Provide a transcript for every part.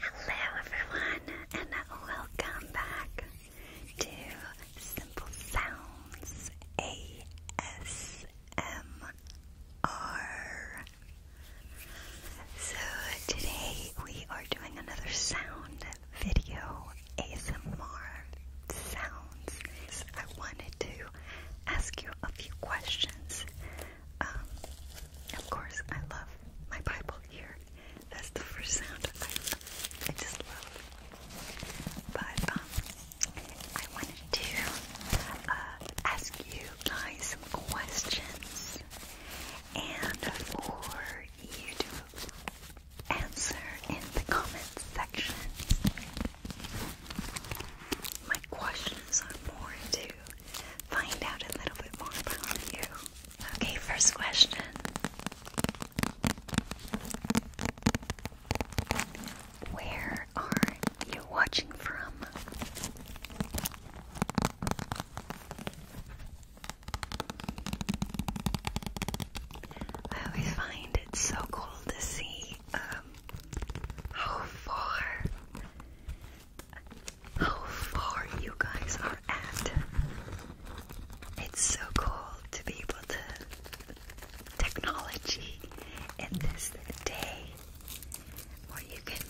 Hello everyone and welcome back to Simple Sounds ASMR. So today we are doing another sound video ASMR sounds. I wanted to ask you a few questions um, of course, I love my Bible here. That's the first sound I, just love. But um, I wanted to uh, ask you guys some questions and for you to answer in the comments section. My questions are more to find out a little bit more about you. Okay, first question. Where are you watching from? I always find it so cool to see um, how far how far you guys are at. It's so cool to be able to technology in this day where you can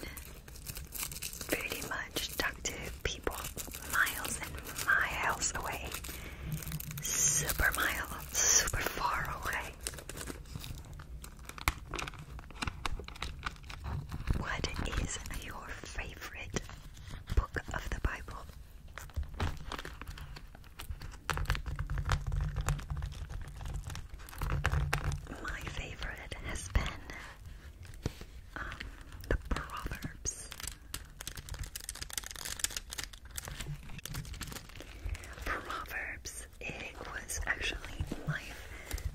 pretty much talk to people miles and miles away. Super mile, super far away. What is your favorite book of the Bible? My favorite has been um, the Proverbs. Proverbs. It was actually my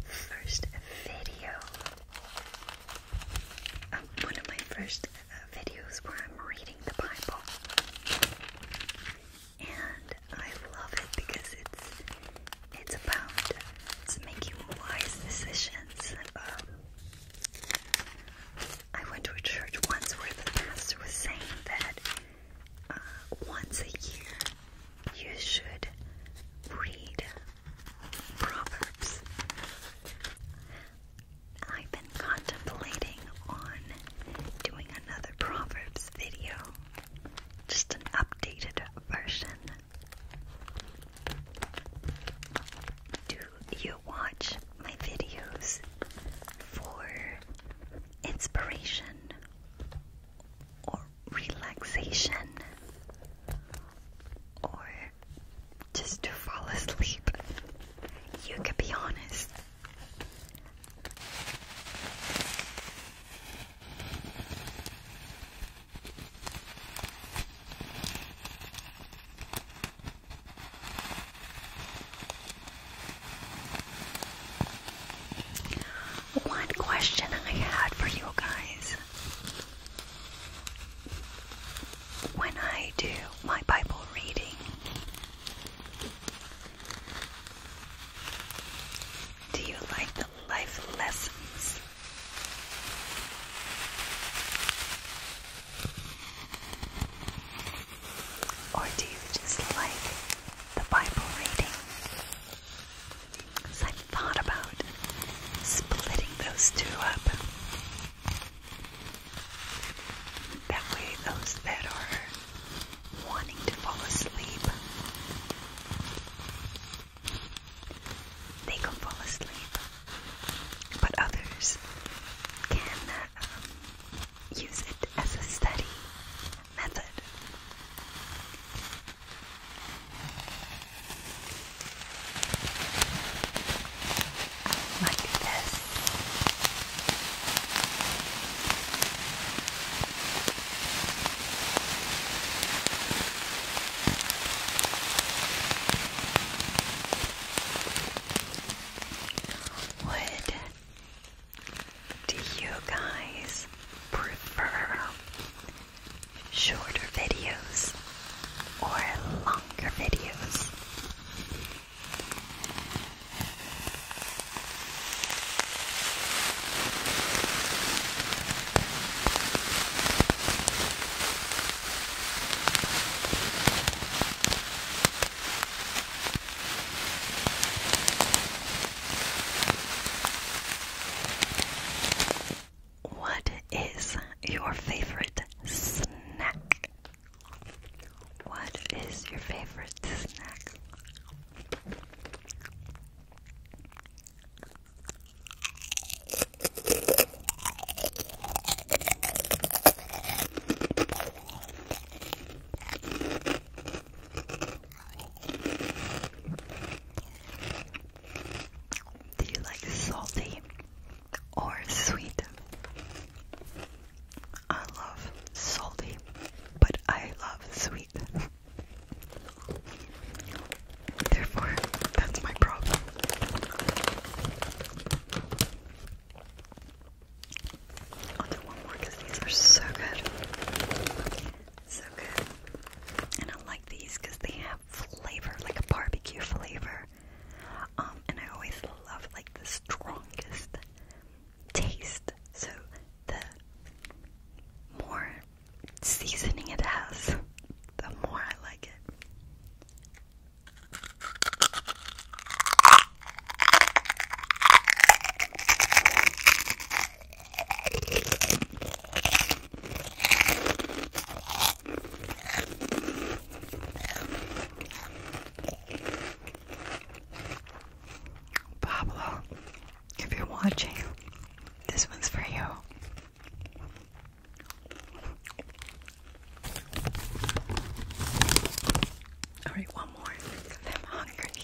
first video um, one of my first uh, videos where I'm reading the Bible, and I love it because it's it's about making wise decisions. Um, I went to a church once where the pastor was saying that uh, once a year you should read Proverbs. I've been contemplating on doing another Proverbs video, just an updated version. Do you watch my videos for inspiration or relaxation or just to fall asleep. You could be honest. One question I had for you guys when I do my Bible reading, do you like the life lessons? Or do you just like the Bible reading? So I thought about splitting those two up. That way, those that are wanting to fall asleep, they can fall asleep. But others can um, use it as a study method. Like this. What do you guys prefer? shorter videos or longer videos. What is your favorite snack? What is your favorite snack? Do you like salty or sweet? I love salty, but I love sweet. Therefore, that's my problem. I'll do one more because these are so good. So good. And I like these because they have flavor, like a barbecue flavor. Um, and I always love like the strongest taste. So the more seasoning it has, the more I like it. Pablo, if you're watching, this one's for you. All right, one more. I'm hungry.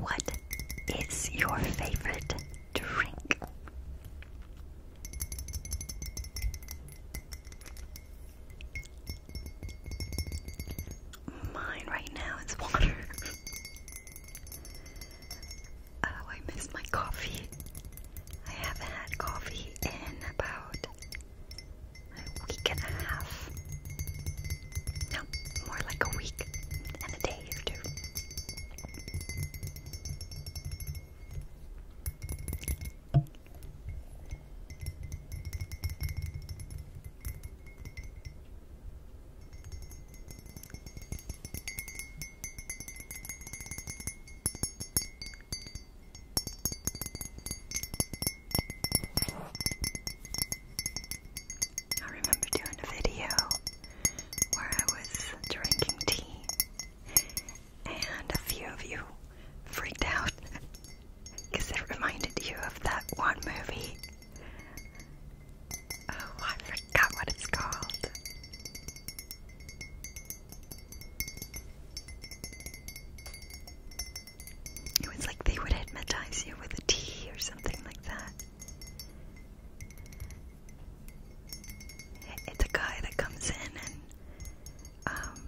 What is your favorite drink? Mine right now is water. oh, I miss my coffee. I haven't had coffee in about a week and a half. No, more like a week and a day or two. I remember doing a video where I was drinking tea and a few of you freaked out because it reminded you of that one movie. Oh, I forgot what it's called. It was like they would hypnotize you with a tea or something like that. It's a guy that comes in and um,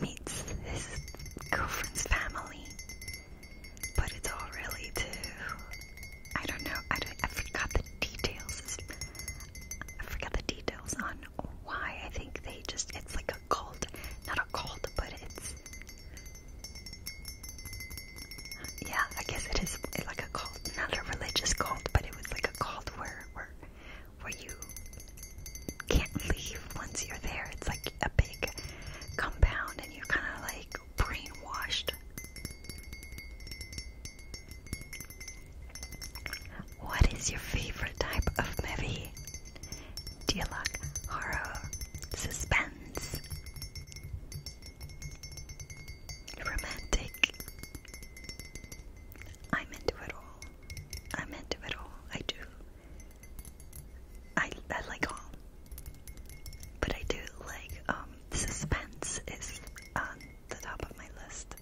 meets his girlfriend's family, but it's all really i don't know. I forgot the details. I forgot the details on why. I think they just—it's like a cult, not a cult, but it's yeah, I guess it is like a cult, not a religious cult, but it was like a cult where where where you can't leave once you're there. It's like a big compound, and you're kind of like brainwashed. What is your favorite type of movie? Do you like horror, Suspense. Romantic. I'm into it all. I'm into it all. I do. I, I like all. But I do like, um, suspense is on the top of my list.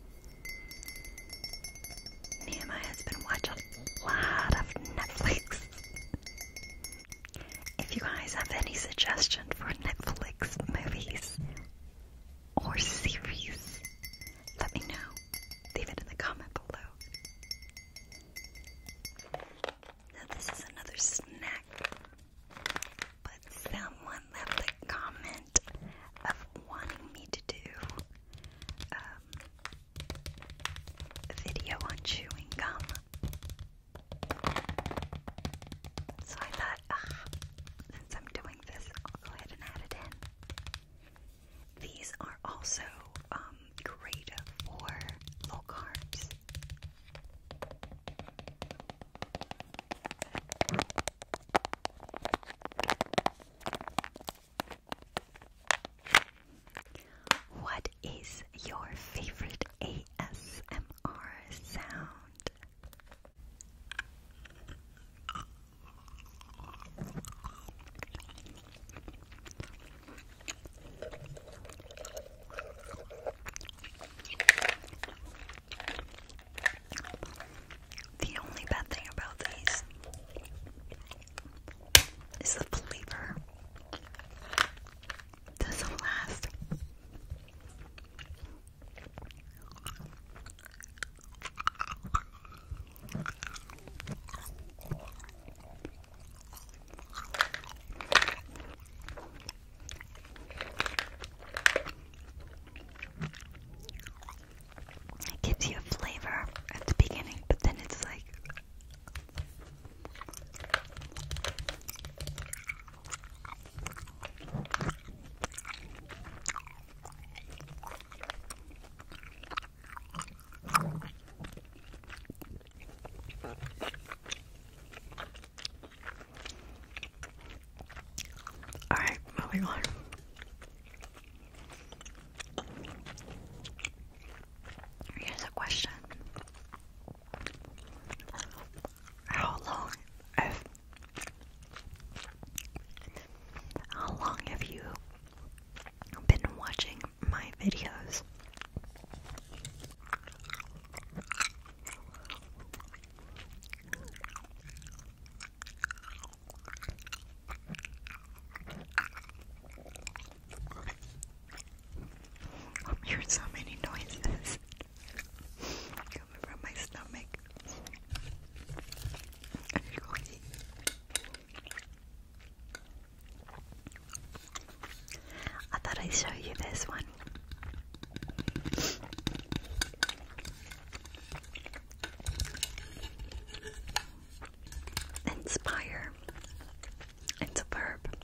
Me and my husband watch a lot of Netflix. If you guys have any suggestion for Netflix movies or series, let me know. Leave it in the comment below. Now this is another snack, but someone left a comment of wanting me to do um, video on chewing gum. So I thought, ah, since I'm doing this, I'll go ahead and add it in. These are also um, great for low carbs. What is your favorite ASMR sound? The only bad thing about these is the flavor doesn't last. gives you a flavor at the beginning, but then it's like all right, moving on. Here's a question how long have how long have you been watching my videos? I'm hearing so many noises coming from my stomach. I thought I'd show you this one. Inspire it's a verb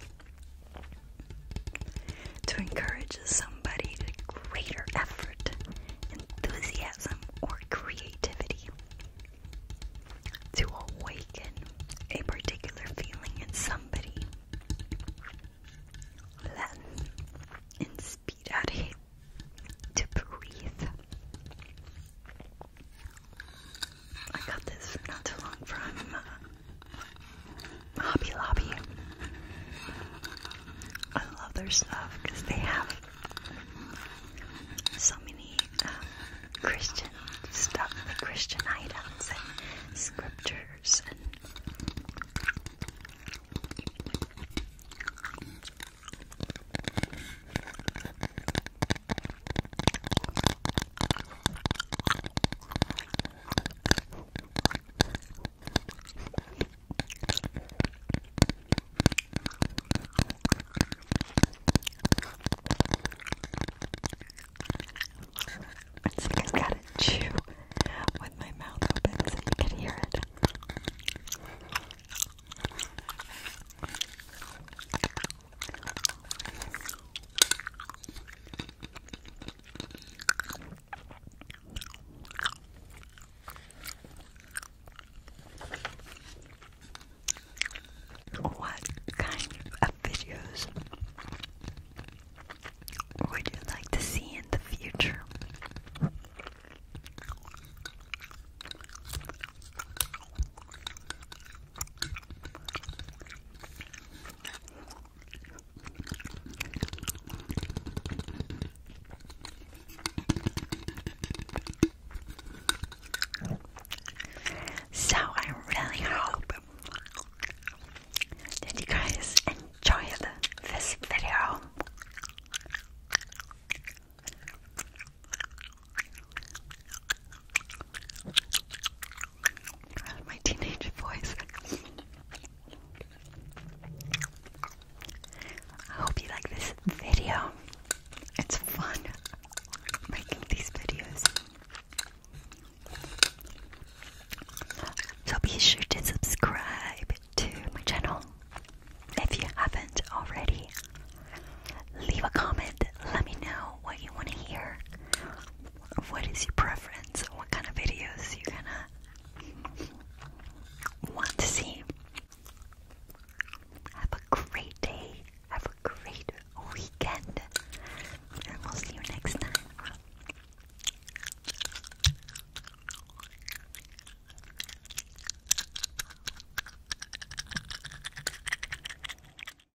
to encourage somebody to greater effort, enthusiasm, or creativity. To awaken a particular feeling in somebody. Let inspirare. To breathe. I got this not too long from uh, Hobby Lobby. I love their stuff because they have so many um, Christian stuff, like Christian items and scriptures and. It's like I gotta chew with my mouth open so you can hear it. What kind of videos would you like to see in the future? So I really hope that you guys enjoyed this video my teenage voice. I hope you like this video. It's fun making these videos. So be sure to subscribe to my channel if you haven't already. Leave a comment, let me know what you want to hear what is your preference? What kind of videos you gonna want to see? Have a great day. Have a great weekend. And we'll see you next time.